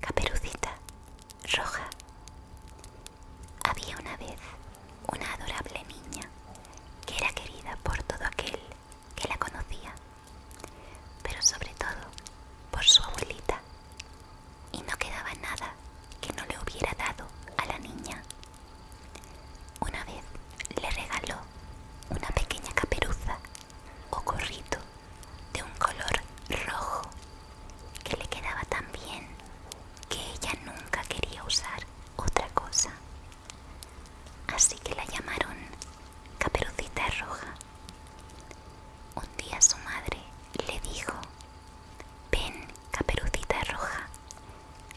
Caperucita Roja. Había una vez una adorable niña que era querida por todo aquel que la conocía, pero sobre todo por su abuelita, y no quedaba nada que no le hubiera dado a la niña. Una vez le regaló una pequeña caperuza o gorrito de un color rojo que le quedaba tan bien que ella nunca quería usar otra cosa. Así que la llamaron Caperucita Roja. Un día su madre le dijo, ven Caperucita Roja,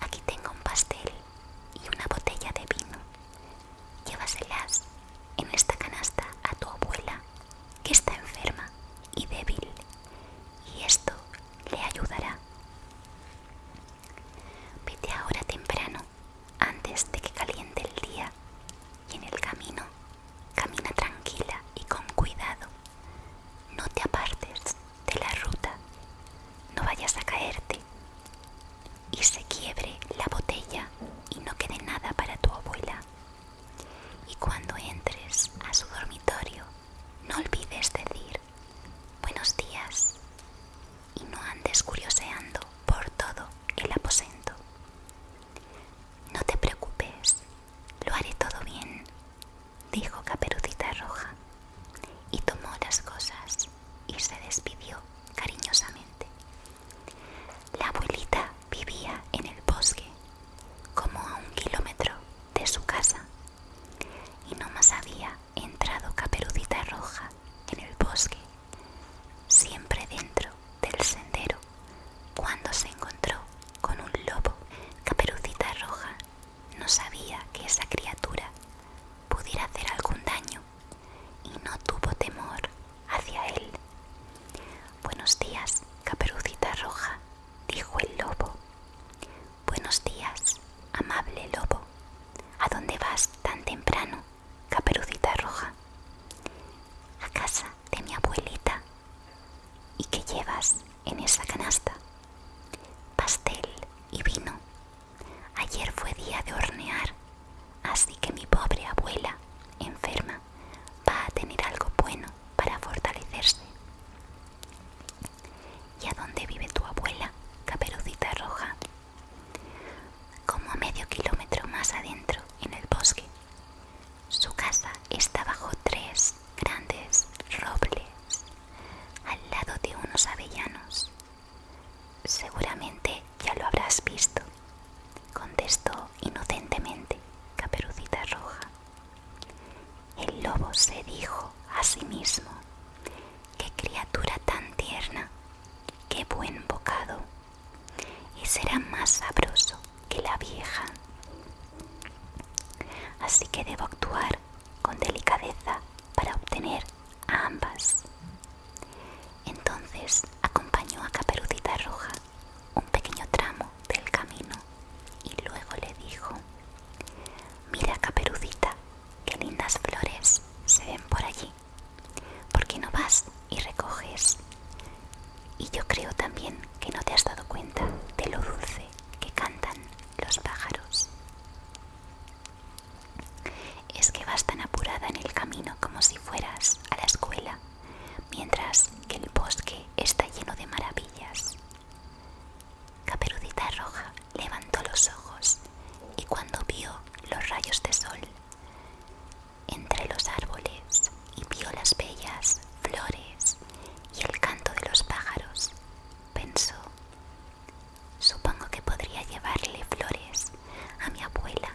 aquí tengo un pastel y una botella de vino llévaselas en esta canasta a tu abuela que está enferma y débil y esto le ayudará. Vete ahora temprano antes de que caliente el día y en el camino camina tranquila y con cuidado. No te apartes de la ruta, no vayas a caerte y se quiebre la botella y no quede nada para tu abuela. Y cuando entres a su dormitorio, no olvides decir buenos días y no andes curioseando por todo el aposento. No te preocupes, lo haré todo bien, dijo Caperucita Roja y tomó las cosas y se despidió cariñosamente. La abuelita vivía en el bosque, como a un kilómetro de su casa, y no más había entrado Caperucita Roja en el bosque, siempre dentro del sendero, cuando se encontró con un lobo. Caperucita Roja no sabía que esa criatura pudiera hacer algún daño y no tuvo temor hacia él. Buenos días, caperucita roja, dijo el lobo. Buenos días, amable lobo. ¿A dónde vas tan temprano, caperucita roja? A casa de mi abuelita. ¿Y qué llevas en esa canasta? Pastel y vino, Ayer fue día de hornear, así que mi pobre abuela, enferma, va a tener algo bueno para fortalecerse. ¿Y a dónde vive tu abuela, caperucita roja? Como a medio kilómetro más adentro, en el bosque. Su casa está bajo tres grandes robles, al lado de unos avellanos Seguramente ya lo habrás visto, contestó inocentemente Caperucita Roja. El lobo se dijo a sí mismo, qué criatura tan tierna, qué buen bocado, y será más sabroso que la vieja. Así que debo actuar con delicadeza para obtener a ambas. Entonces acompañó a Caperucita Roja un pequeño tramo del camino y luego le dijo, mira Caperucita, qué lindas flores se ven por allí. ¿Por qué no vas y recoges? Y yo creo también que no te has dado cuenta de lo dulce que cantan los pájaros. Es que vas tan apurada en el camino como si fueras a la escuela, mientras que el bosque está lleno de maravillas. Caperucita Roja levantó los ojos y cuando vio los rayos de sol entre los árboles y vio las bellas flores y el canto de los pájaros, pensó, Supongo que podría llevarle flores a mi abuela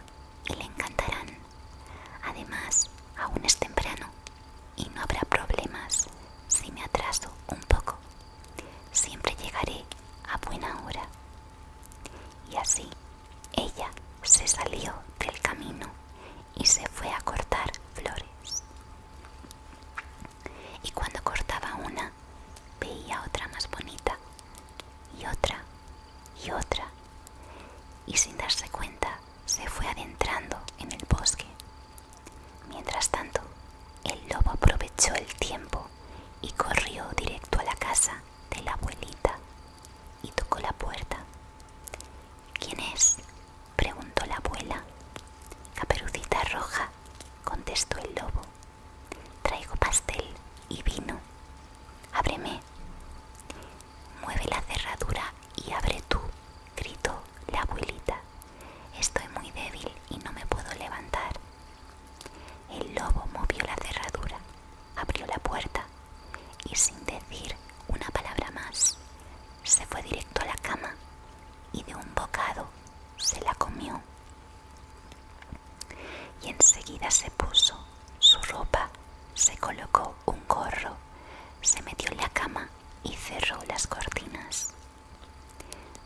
y le encantarán. Además, aún es temprano y no habrá problemas si me atraso un poco. Siempre llegaré a buena hora. Y así, ella se salió del camino y se fue a cortar flores. Y cuando cortaba una, veía otra más bonita, y otra, y otra. Y sin darse cuenta, se fue adentrando en el bosque. Mientras tanto, el lobo aprovechó el tiempo y corrió directo a la casa de la abuelita y tocó la puerta. ¿Quién es? preguntó la abuela. Caperucita roja, contestó el lobo. Traigo pastel y vino. Ábreme. Mueve la cerradura y abre tú, gritó la abuelita. Estoy muy débil y no me puedo levantar. El lobo movió la cerradura, abrió la puerta y sin decir una palabra más, se fue directo a la cama y de un bocado se la comió. Y enseguida se puso su ropa, se colocó un gorro, se metió en la cama y cerró las cortinas.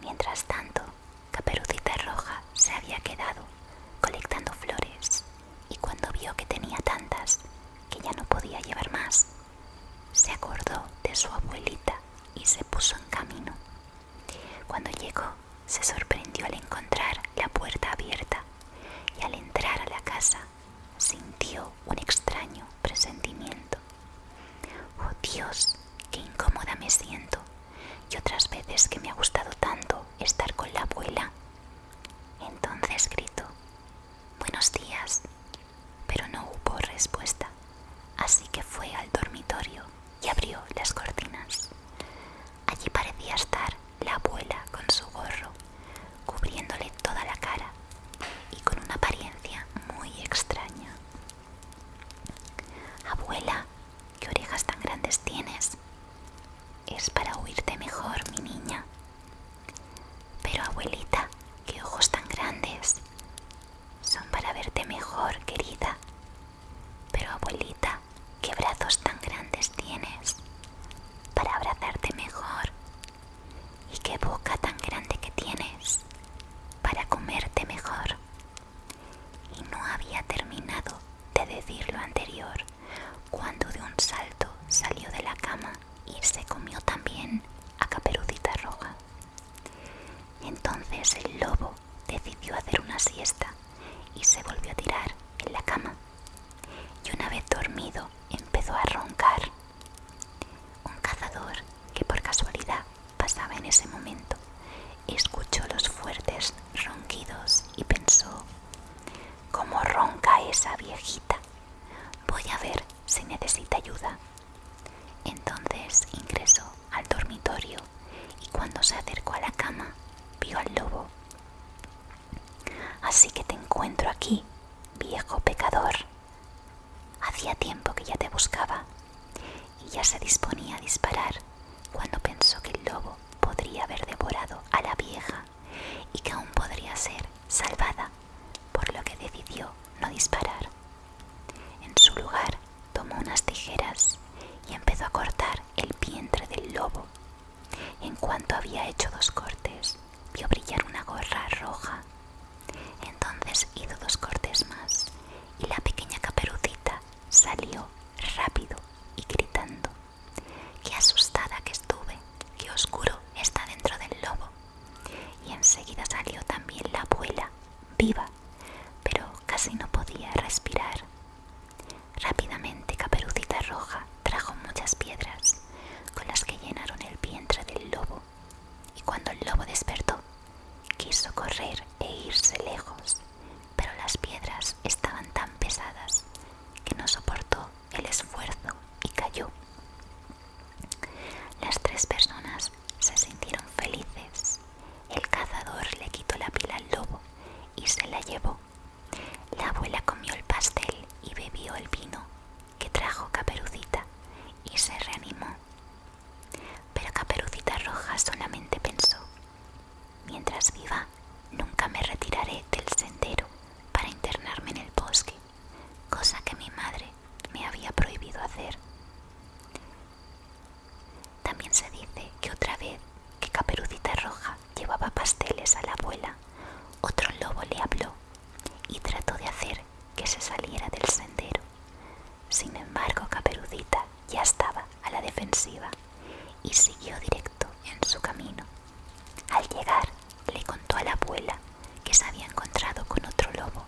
Mientras tanto, Caperucita Roja se había quedado colectando flores y cuando vio que tenía tantas que ya no podía llevar más, se acordó de su abuelita y se puso en camino. Cuando llegó, se sorprendió al encontrar la puerta abierta y al entrar a la casa sintió un extraño presentimiento. Oh Dios, qué incómoda me siento y otras veces que me ha gustado tanto estar con la abuela. Entonces gritó, Buenos días, pero no hubo respuesta, así que fue al dormitorio y abrió las cortinas. Allí parecía estar la abuela con su gorro, cubriéndole toda la cara y con una apariencia muy extraña. Abuela, ¿qué orejas tan grandes tienes? Es para oírte mejor, mi niña. Pero abuelita, ¿qué ojos tan grandes? Son para verte mejor, querida. Pero abuelita, ¿qué brazos tan grandes tienes? Para abrazarte mejor. ¿Y qué boca tan grande que tienes? Para comerte mejor. Y no había terminado de decir lo anterior cuando de un salto salió de la cama y se comió también a Caperucita Roja. Entonces el lobo decidió hacer una siesta y se volvió a tirar en la cama. Y una vez dormido empezó a roncar. Un cazador que por casualidad pasaba en ese momento escuchó los fuertes ronquidos y pensó, ¿cómo ronca esa viejita? Voy a ver si necesita ayuda entonces ingresó al dormitorio y cuando se acercó a la cama vio al lobo. Así que te encuentro aquí, viejo pecador. Hacía tiempo que ya te buscaba y ya se disponía a disparar cuando pensó que el lobo podría haber devorado a la vieja y que aún podría ser salvada por lo que decidió no disparar. En su lugar, tomó unas tijeras y empezó a cortar el vientre del lobo. En cuanto había hecho dos cortes, vio brillar una gorra roja. Entonces hizo dos cortes más y la pequeña caperucita salió rápido y gritando. Qué asustada que estuve, qué oscuro está dentro del lobo. Y enseguida salió también la abuela, viva, pero casi no podía respirar. Rápidamente Caperucita Roja trajo muchas piedras con las que llenaron el vientre del lobo. Y cuando el lobo despertó, quiso correr e irse lejos, pero las piedras estaban tan pesadas que no soportó el esfuerzo y cayó. Las tres personas se sintieron felices. El cazador le quitó la pila al lobo y se la llevó. La abuela comió el pastel y bebió el vino que trajo Caperucita y se reanimó. Pero Caperucita Roja solamente pensó, mientras viva, nunca me retiraré del sendero para internarme en el bosque cosa que mi madre me había prohibido hacer. También se dice que otra vez que Caperucita Roja llevaba pasteles a la abuela, otro lobo le habló y trató de hacer que se saliera del sendero. Sin embargo, Caperucita ya estaba a la defensiva y siguió directo en su camino. Al llegar, le contó a la abuela que se había encontrado con otro lobo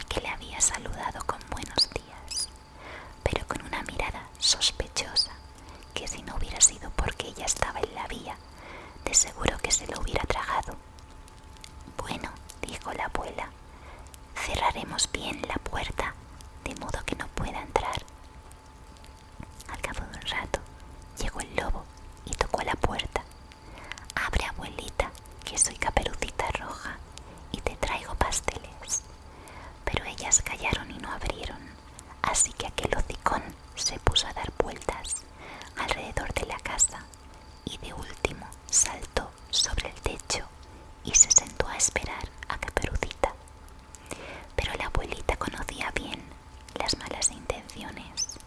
y que le había saludado con buenos días, pero con una mirada sospechosa que si no hubiera sido porque ella estaba en la vía, de seguro que se lo hubiera tragado. Bueno, dijo la abuela, cerraremos bien la puerta, de modo que no pueda entrar. Al cabo de un rato, llegó el lobo y tocó la puerta. Abre abuelita, que soy caperucita roja y te traigo pasteles. Pero ellas callaron y no abrieron, así que aquel hocicón se puso a dar vueltas alrededor de la casa y de último saltó sobre el techo y se sentó a esperar a Caperucita. Pero la abuelita conocía bien las malas intenciones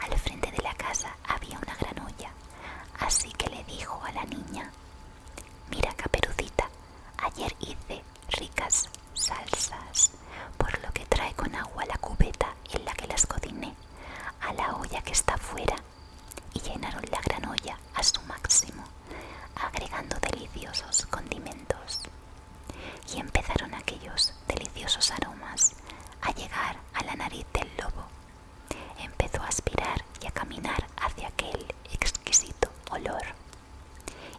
al frente de la casa había una gran olla, así que le dijo a la niña, Mira, caperucita, ayer hice ricas salsas, por lo que trae con agua la cubeta en la que las cociné a la olla que está afuera y llenaron la gran olla a su máximo, agregando deliciosos condimentos. Y empezaron aquellos deliciosos aromas a llegar a la nariz del lobo. Empezó a aspirar y a caminar hacia aquel exquisito olor.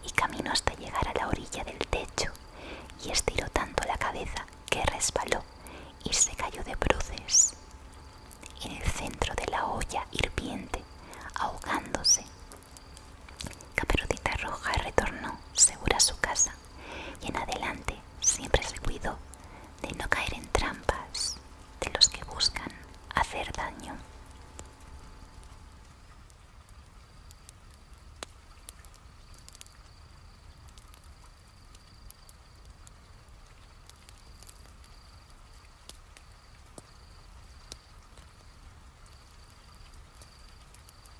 Y caminó hasta llegar a la orilla del techo y estiró tanto la cabeza que resbaló y se cayó de bruces. En el centro de la olla hirviente, ahogándose. Caperucita Roja retornó segura a su casa y en adelante siempre se cuidó de no caer en trampas de los que buscan hacer daño.